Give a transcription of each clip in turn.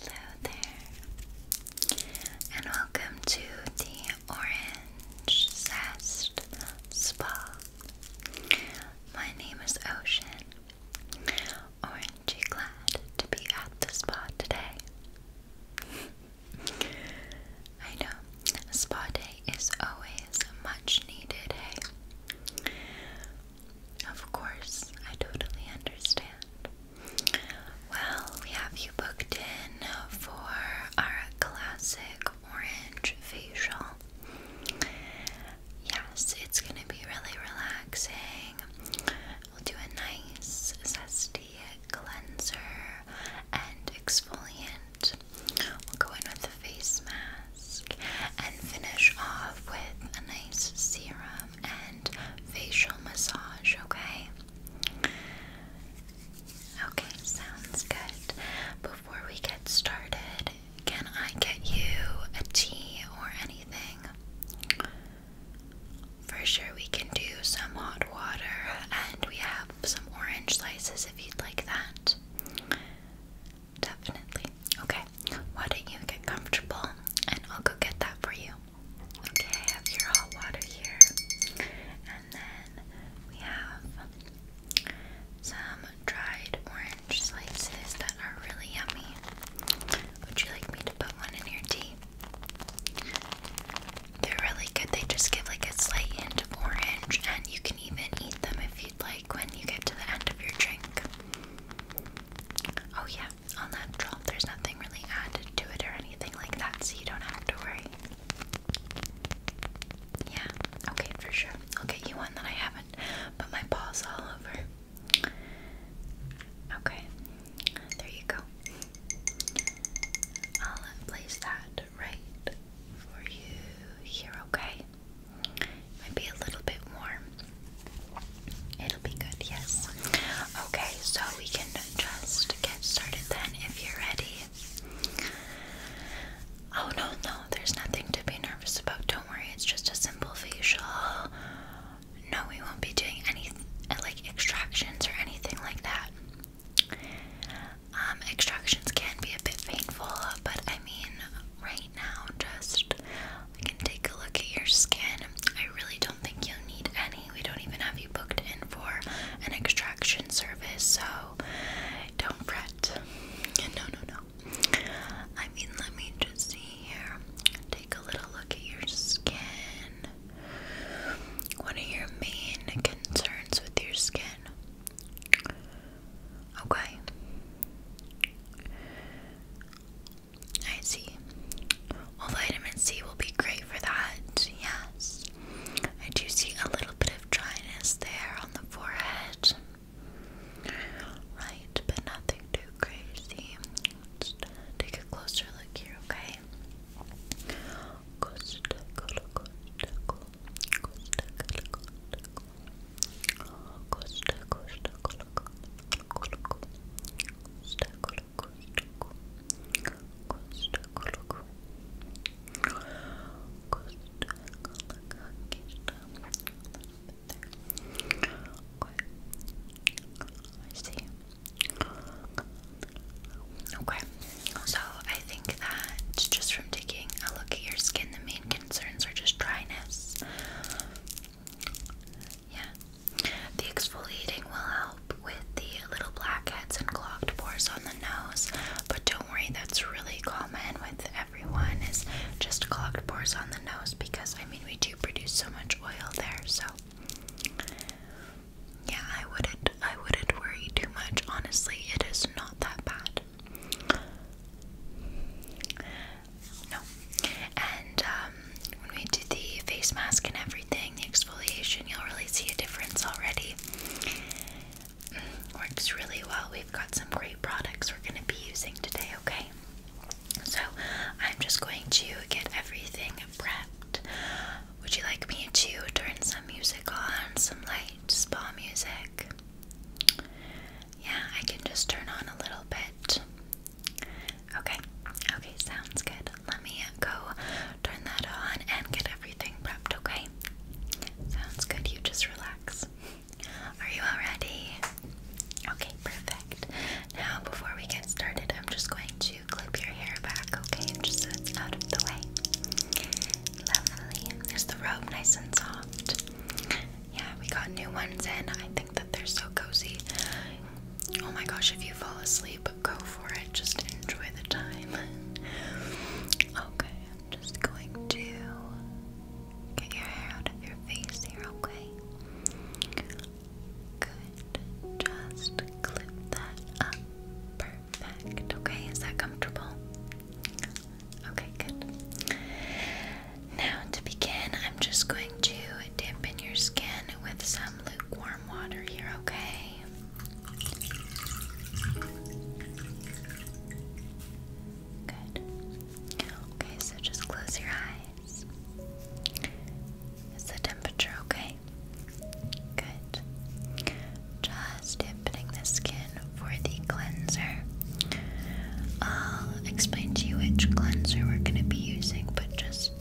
Hello there, and welcome to the Orange Zest Spa. My name is Ocean, orangey glad to be at the spa today. I know, spa day is always a much needed, hey? Of course, I totally understand. Well, we have you booked in for our classic orange facial. Yes, it's going to be really relaxing. We'll do a nice, zesty cleanser and exfoliant. We'll go in with a face mask and finish off with a nice serum. Um, and facial massage, okay? Okay, sounds good. Before we get started, can I get you a tea or anything? For sure, we can do some hot water and we have some orange slices if you'd like that. Definitely. Okay, why don't you get comfortable and I'll go get that for you. Okay, I have your hot water here. And then we have some dried orange slices that are really yummy. Would you like me to put one in your tea? They're really good. They just give like a slight hint of orange, and you can even eat them if you'd like when you get to the end of your drink. Oh, yeah, all natural. There's nothing really added to it or anything like that, so you don't have to worry. Yeah, okay, for sure. I'll get you one that I haven't put my paws all over. Okay, there you go. I'll place that right for you here, okay? Might be a little bit warm. It'll be good, yes. Okay, so we can just get started then if you're ready. Oh no, no, there's nothing to be nervous about. Don't worry, it's just a simple facial. No, we won't be doing any like extractions or anything like that. Um, extractions can be a bit painful, but I mean, right now, just we can take a look at your skin. I really don't think you'll need any. We don't even have you booked in for an extraction service, so don't fret. No, no, no. I mean, let me just see here. Take a little look at your skin. What are your main concerns with your skin? Okay. I see. Well, vitamin C will be great for that, yes. I do see a little bit of dryness there on the forehead. Right, but nothing too crazy. take a closer look here, okay? Okay, so I think that just from taking a look at your skin, the main concerns are just dryness. Yeah, the exfoliating will help with the little blackheads and clogged pores on the nose, but don't worry, that's really common with everyone It's just clogged pores on the nose because I mean we do produce so much oil there, so yeah, I wouldn't I wouldn't worry too much. Honestly, it is not that bad. No. And um, when we do the face mask and everything, the exfoliation, you'll really see a difference already. Mm, works really well. We've got some great products we're going to be using today, okay? So, I'm just going to get everything prepped. Would you like me to turn some music on, some light spa music? Yeah, I can just turn on a little bit. Okay, okay, sounds good. Let me go turn that on and get everything prepped, okay? Sounds good, you just relax. Are you all ready? Okay, perfect. Now, before we get started, I'm just going to clip your hair back, okay? Just so it's out of the way. Lovely. Is the robe nice and soft? Yeah, we got new ones in. I think that they're so cozy. Oh my gosh, if you fall asleep, go for it. Just enjoy the time. okay, I'm just going to get your hair out of your face here, okay? Good. Just clip that up. Perfect. Okay, is that comfortable? Okay, good. Now to begin, I'm just going to dip in your skin with some lukewarm water here, okay? Okay, so just close your eyes. Is the temperature okay? Good. Just dipping the skin for the cleanser. I'll explain to you which cleanser we're going to be using, but just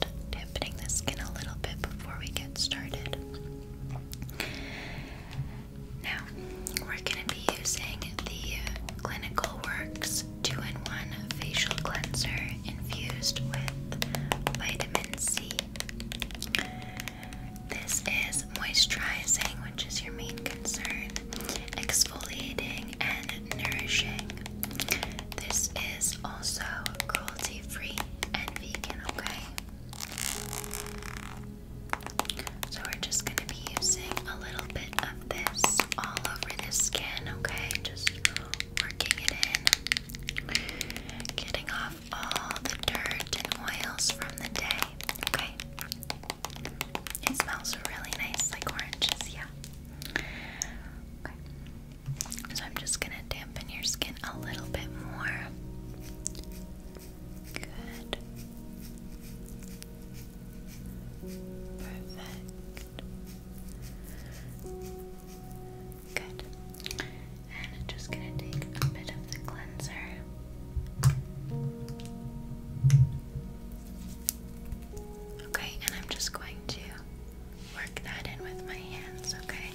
stiffening the skin a little bit before we get started. Now, we're going to be using the Clinical Works 2 in 1 Facial Cleanser infused with vitamin C. This is moisturizing, which is your main concern, exfoliating, and nourishing. This is also cruelty free and vegan, okay? So we're just going to be using a little bit of this all over the skin, okay? Just working it in, getting off all the dirt and oils from the day, okay? It smells really nice, like oranges, yeah. Okay. So I'm just going to dampen your skin a little bit more. Good. Perfect. Good. And I'm just going to take a bit of the cleanser. Okay, and I'm just going to work that in with my hands, okay?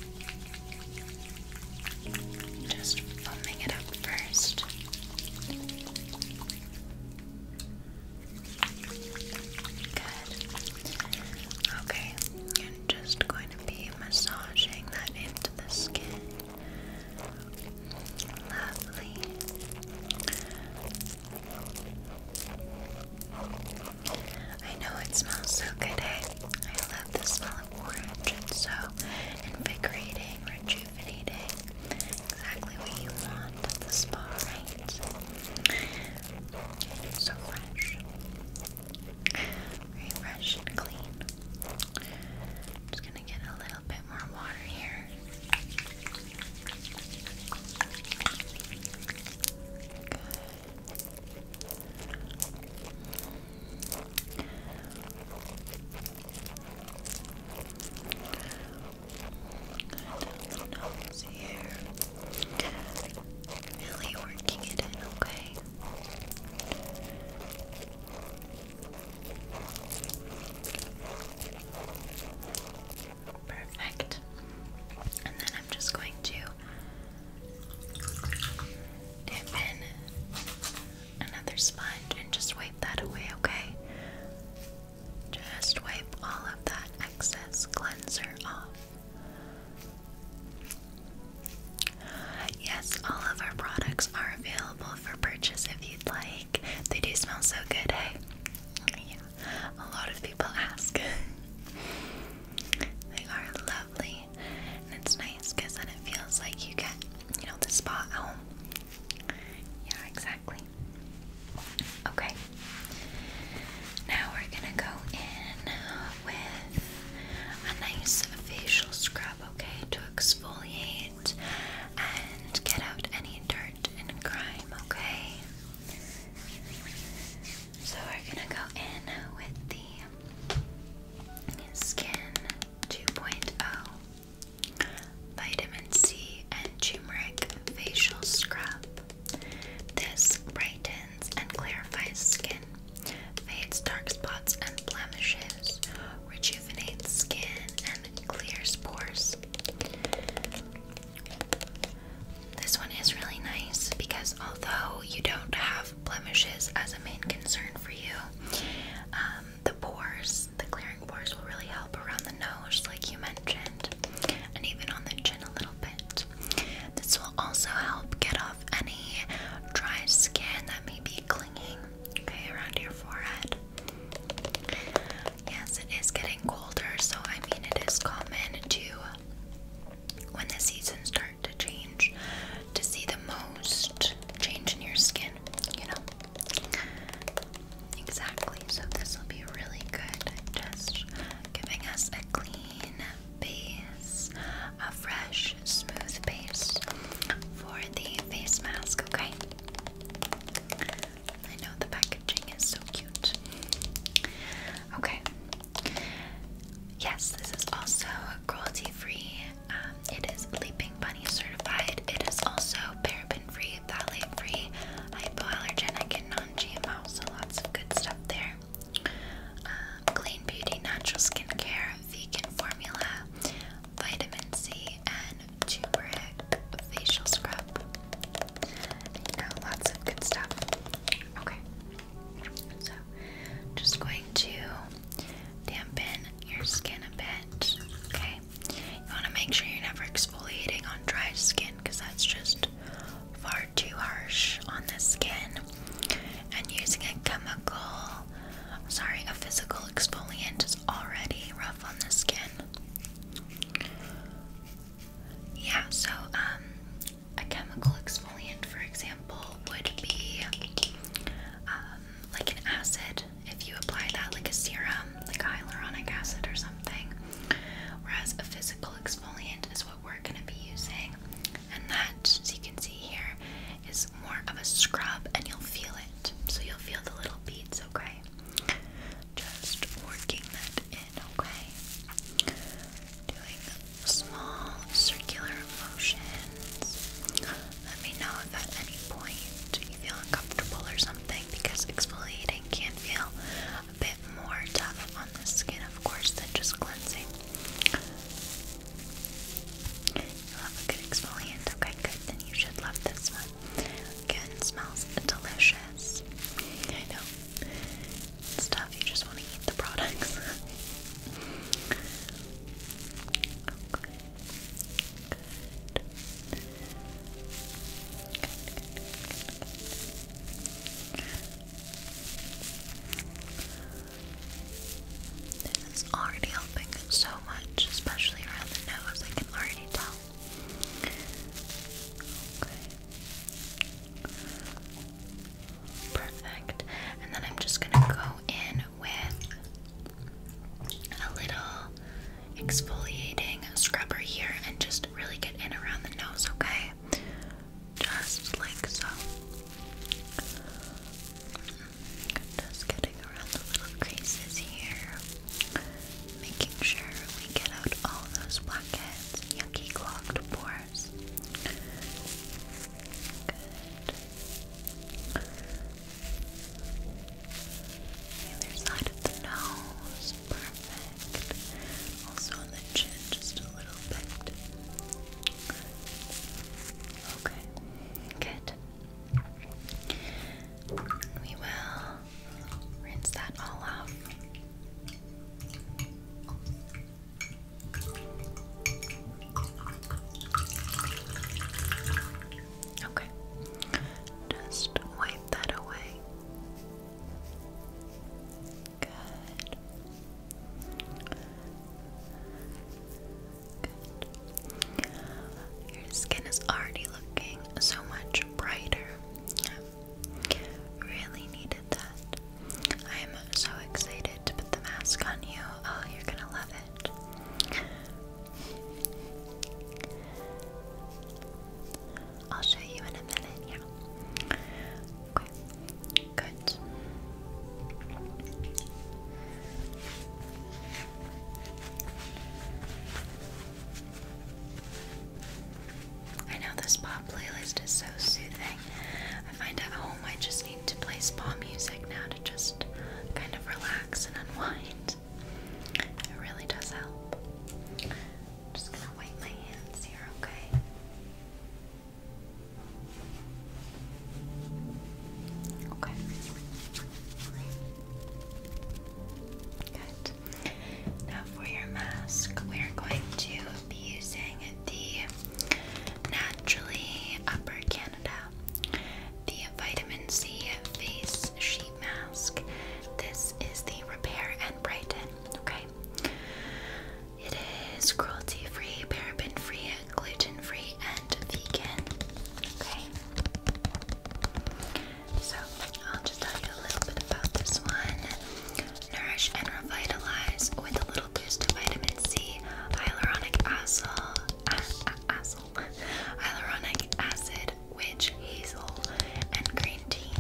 Just foaming it up first. Good. Okay, I'm just going to be massaging that into the skin. Lovely. I know it smells so good, eh? I love the smell of orange. It's so invigorating, rejuvenating. Exactly what you want at the spa, right? So fresh. Very fresh and clean. Just gonna get a little bit more water here. Good. Nose here. Really working it in, okay? Perfect. And then I'm just going to dip in another sponge and just wipe that away, okay? Just wipe all of that excess cleanser off. Yes, all of our products are available for purchase if you'd like. They do smell so good, hey? a lot of people ask. they are lovely, and it's nice because then it feels like you get, you know, the spot at Yeah, exactly. Okay. Now we're gonna go in with a nice facial scrub, okay, to exfoliate and get out any dirt and grime, okay? So we're gonna go in with the Skin 2.0 Vitamin C and Turmeric Facial Scrub. This brightens and clarifies skin, fades dark spots and blemishes, rejuvenates skin, and clears pores. This one is really nice because although you don't have blemishes as a main concern for you, um, the pores, the clearing pores, will really help around the nose, like you mentioned, and even on the chin a little bit. This will also help get off any dry skin that may be clinging, around your forehead. Yes, it is getting colder, so I mean, it is common to when the seasons start to change to see the most change in your skin, you know? Exactly. So this will be really good just giving us a clean base, a fresh, smooth base for the face mask, okay? I know the packaging is so cute. Okay, Yes, this is also cruelty free. Um, it is Leaping Bunny certified. It is also paraben free, phthalate free, hypoallergenic, and non GMO. So lots of good stuff there. Um, clean Beauty Natural Skincare, Vegan Formula, Vitamin C, and Turmeric Facial Scrub. You know, lots of good stuff. Okay. So, just going to dampen your skin a bit. Okay. You want to make sure you're never exfoliating on dry skin because that's just far too harsh on the skin. And using a chemical, sorry, a physical exfoliant is already rough on the skin. Yeah, so um a chemical exfoliant, for example, would be um, like an acid. If you apply that like a serum, like hyaluronic acid or something. Whereas a physical exfoliant is what we're going to be using. And that, as you can see here, is more of a scrub and you'll feel it. So you'll feel the little beads, okay? Just working that in okay? Doing small circular motions. Let me know if at any point you feel uncomfortable or something because exfoliating can feel a bit more tough on the skin, of course, than just cleansing. You love a good exfoliant, okay? Good, then you should love this one. Again, smells delicious. I know it's tough, you just want to eat the products. This is already helping so much, especially around the nose. I can already tell. Okay. Perfect. And then I'm just gonna go in with a little exfoliating scrubber here and just really get in around the nose, okay? Just like so. Just getting around the little creases here. Making sure we get out all those blackheads, yucky clogged pores stars. Good. side of the nose, perfect. Also on the chin, just a little bit. Okay, good. We will rinse that all off. Okay, just wipe that away. Good. Your skin is already looking so much brighter. Really needed that. I'm so excited to put the mask on you. Oh, you're gonna love it. I'll show you in a minute, yeah. Okay, good. I know this pop playlist is so soothing. I find at home I just need to play spa music now to just kind of relax and unwind. It really does help. just gonna wipe my hands here, okay? Okay. Good. Now for your mask, we're going to be using the Naturally Upper Canada, the Vitamin C Face Sheet Mask. This is the Repair and Brighten, okay? It is cruelty free, paraben free, gluten free, and vegan. Okay? So, I'll just tell you a little bit about this one. Nourish and revitalize with a little boost of vitamin C, hyaluronic acid, acid hyaluronic acid, witch hazel, and green tea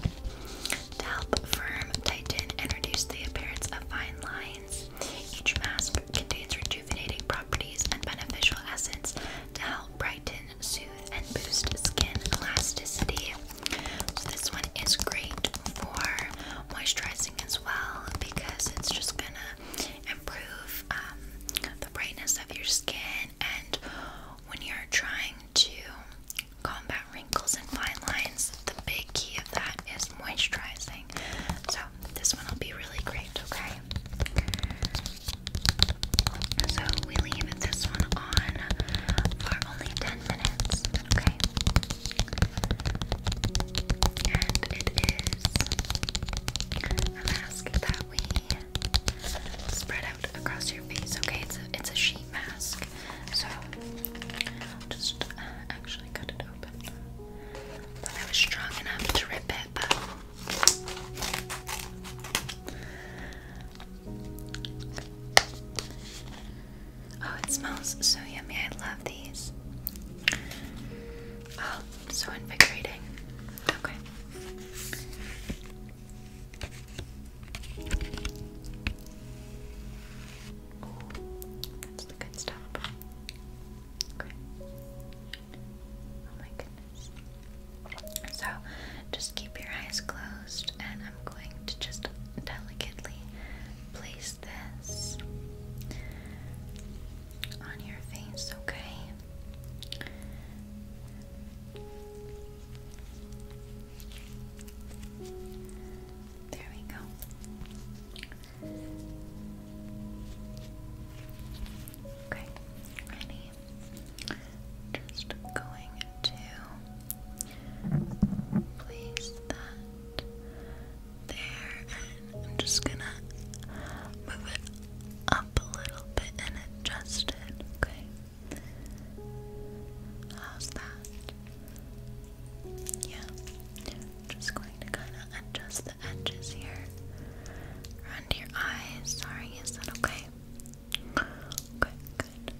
to help firm, tighten, and reduce the appearance of fine lines. Each mask contains rejuvenating properties and beneficial essence to help brighten, soothe, and boost skin elasticity. So this one is great for moisturizing as well because it's just gonna improve um, the brightness of your skin and when you're trying to combat wrinkles and fine lines, the big key of that is moisturizing. So this one will be really great, okay? So we leave this one on for only 10 minutes okay? And it is a mask that we spread out across your face, okay? It's a, it's a sheet mask. So, just actually cut it open. I was strong enough to rip it, but. Oh, it smells so yummy. I love these. Oh, so invigorating. Okay. that's the good stuff. Oh my goodness. So, just keep your eyes closed and I'm going to just delicately place this on your face, okay? There we go. Okay, ready? Just going to Place that there, and I'm just gonna move it up a little bit and adjust it, okay? How's that? Yeah, just going to kind of adjust the edges here around your eyes. Sorry, is that okay? Okay, good.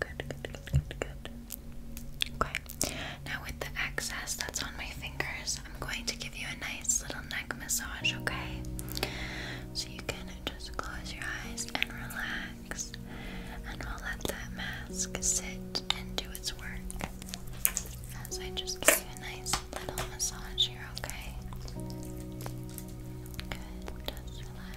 Good, good, good, good, Now with the excess that's on my fingers, I'm going to give you a nice little neck massage, okay? So you can just close your eyes and relax. And we'll let that mask sit and do its work. As I just give you a nice little massage here, okay? Good. Just relax.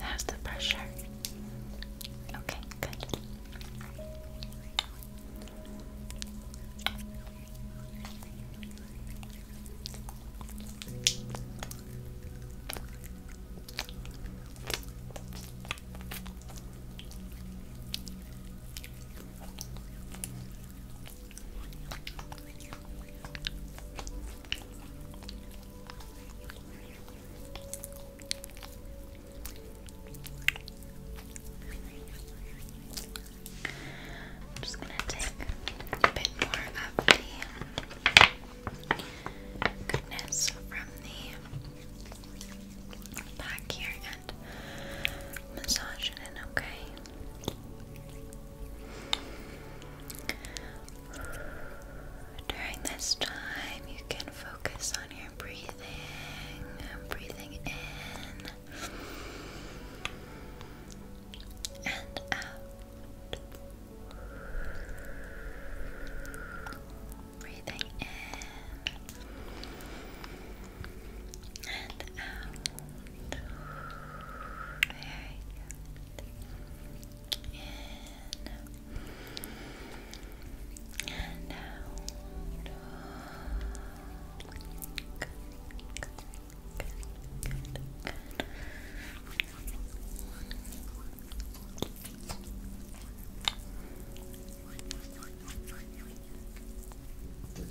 How's the pressure? Okay, good. I'm just going to take a bit more of the goodness from the back here and massage it in, okay? During this time, you can focus on your breathing. Breathing in and out. Breathing in and out. Very good. In and out. Good, good, good, good,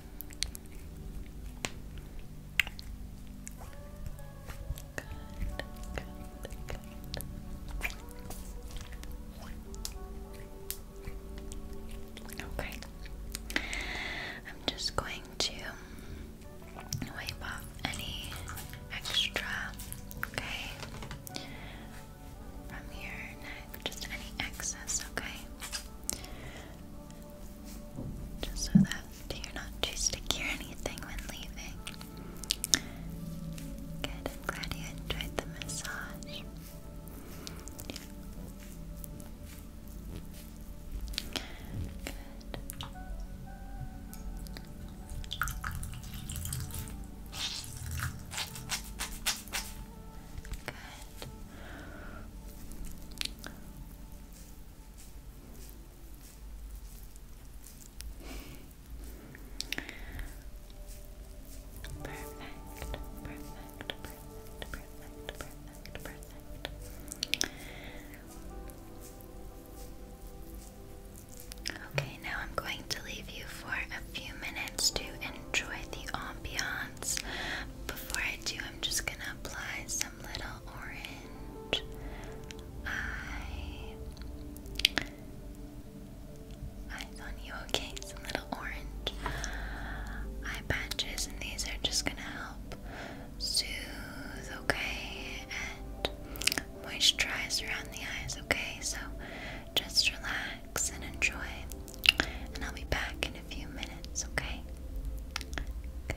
Okay. I'm just going to wipe off any extra, okay? From your neck, just any excess, okay? just so that you're not too sticky or anything when leaving. Good, glad you enjoyed the massage. Good. Good. Perfect, perfect, perfect, perfect, perfect, perfect. Okay, now I'm going to leave you for a few minutes to enjoy the ambiance. Before I do, I'm just gonna apply some little orange. I eyes on you, okay? Some little orange eye patches, and these are just gonna help soothe, okay, and moisturize around the eyes, okay? So just relax and enjoy, and I'll be back in a few minutes, okay? Good.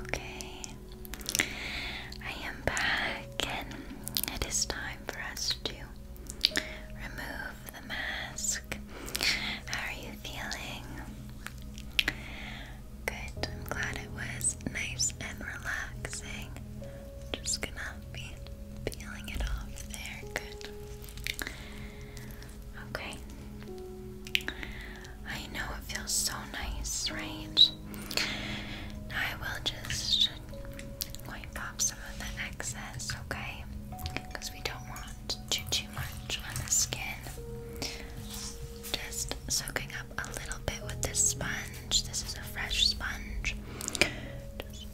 Okay, I am back, and it is time for us to remove the mask. How are you feeling? Good. I'm glad it was nice and relaxing. Just gonna be peeling it off there. Good. Okay. I know it feels so nice, right? I will just wipe off some of the excess, okay? Because we don't want too too much on the skin. Just soaking up a little bit with this sponge. This is a fresh sponge. Just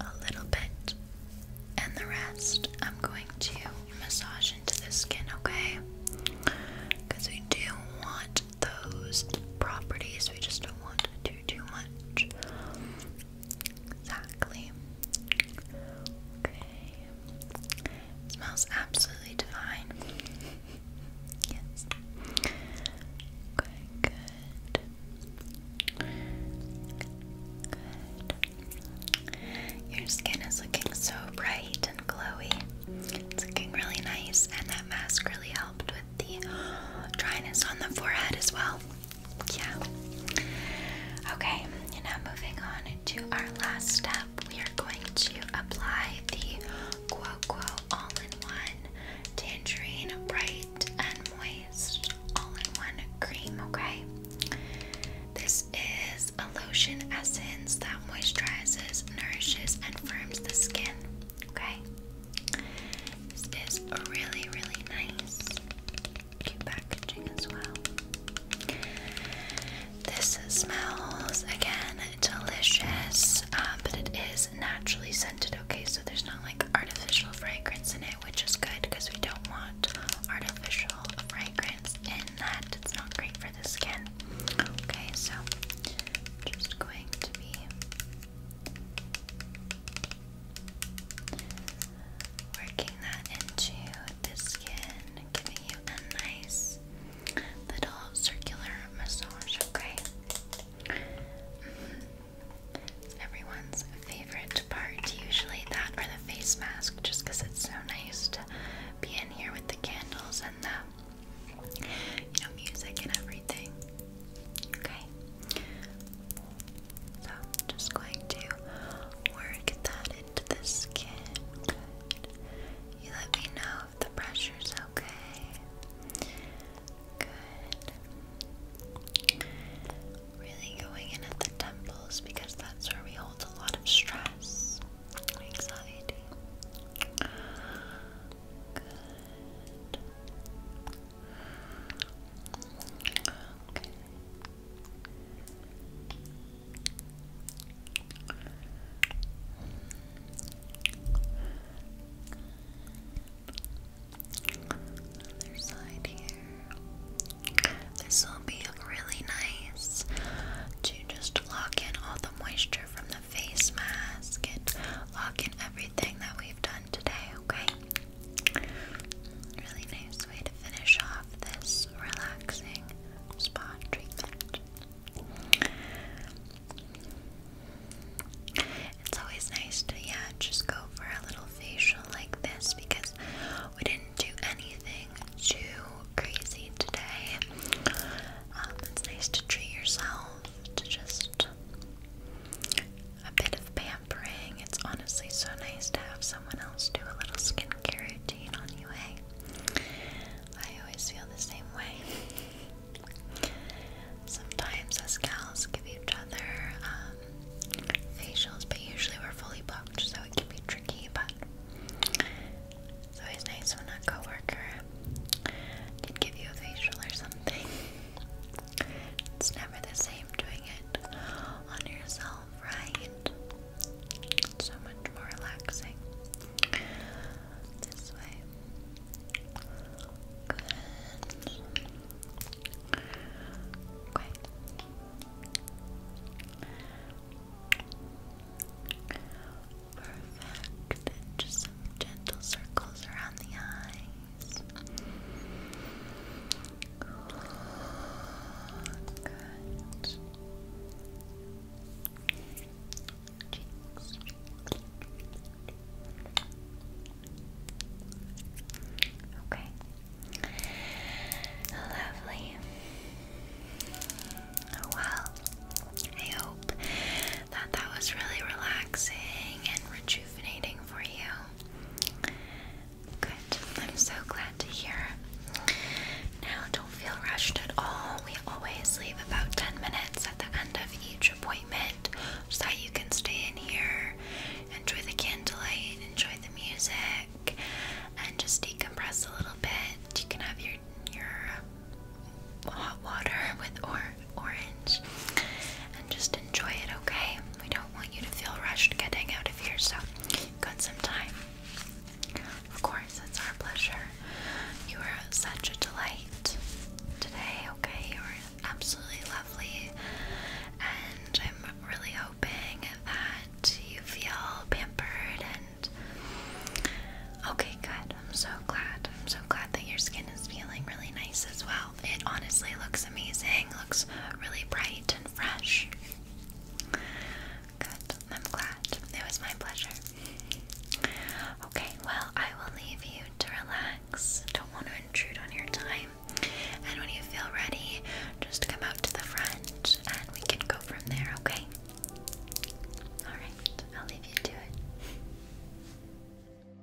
a little bit. And the rest I'm going to massage into the skin, okay? Because we do want those properties, we just don't want to do too much. Exactly. Okay. smells absolutely divine. yes. Okay, good. Good. Your skin is looking so bright and glowy. It's looking really nice, and that mask really helped the dryness on the forehead as well. Yeah. Okay, and now moving on to our last step, we are going to apply the Quo All in One Tangerine Bright and Moist All in One Cream, okay? This is a lotion essence that moisturizes, nourishes, and firms the skin, okay? This is really, really nice. packaging as well. This smells again delicious, uh, but it is naturally scented. Okay, so there's not like artificial fragrance in it, which is good because we don't want artificial fragrance in that. It's not great for the skin. Okay, so just going to be Working that into the skin, giving you a nice little circular massage, okay? Mm-hmm. everyone's favorite part, usually that or the face mask, just it's so nice to be in here with the candles and the you know music and everything. Okay? So, just going to work that into the skin. You let me know if the pressure's okay. Good. Really going in at the temples because that's where we hold a lot of stress, anxiety. Good. Okay. Other This will be really nice to just lock in all the moisture from the face mask and lock in everything everything that we've done today, okay? Really nice way to finish off this relaxing spa treatment. It's always nice to, yeah, just go for a little facial like this because we didn't do anything too crazy today. Um, it's nice to treat yourself, to just a bit of pampering. It's honestly so nice to have someone else do a little skincare routine on you, eh? I always feel the same way. Sometimes us gals give each other um, facials, but usually we're fully booked, so it can be tricky, but it's always nice when a coworker can give you a facial or something. It's never the same doing it on yourself, right? so much more relaxing. This way. Good. Perfect. just gentle circles around the eye. Good. Okay. Lovely. Well, I hope that that was really relaxing and rejuvenating for you. Good. I'm so glad to hear. Now, don't feel rushed at all. We always leave about 10 minutes at the end of each appointment so that you can stay in here, enjoy the candlelight, enjoy the music, and just decompress a little bit. You can have your your uh, hot water with or orange and just enjoy it, okay? We don't want you to feel rushed getting out of here, so you've got some time. Of course, it's our pleasure. You are such a delight today, okay? You're absolutely lovely, and I'm really hoping that you feel pampered and okay, good. I'm so glad. I'm so glad that your skin is feeling really nice as well. It honestly looks amazing. Looks really bright and fresh. Good. I'm glad. It was my pleasure. Okay, well, I will leave you to relax. Don't want to intrude on your time. And when you feel ready, just come out to the front and we can go from there, okay? Alright, I'll leave you to it.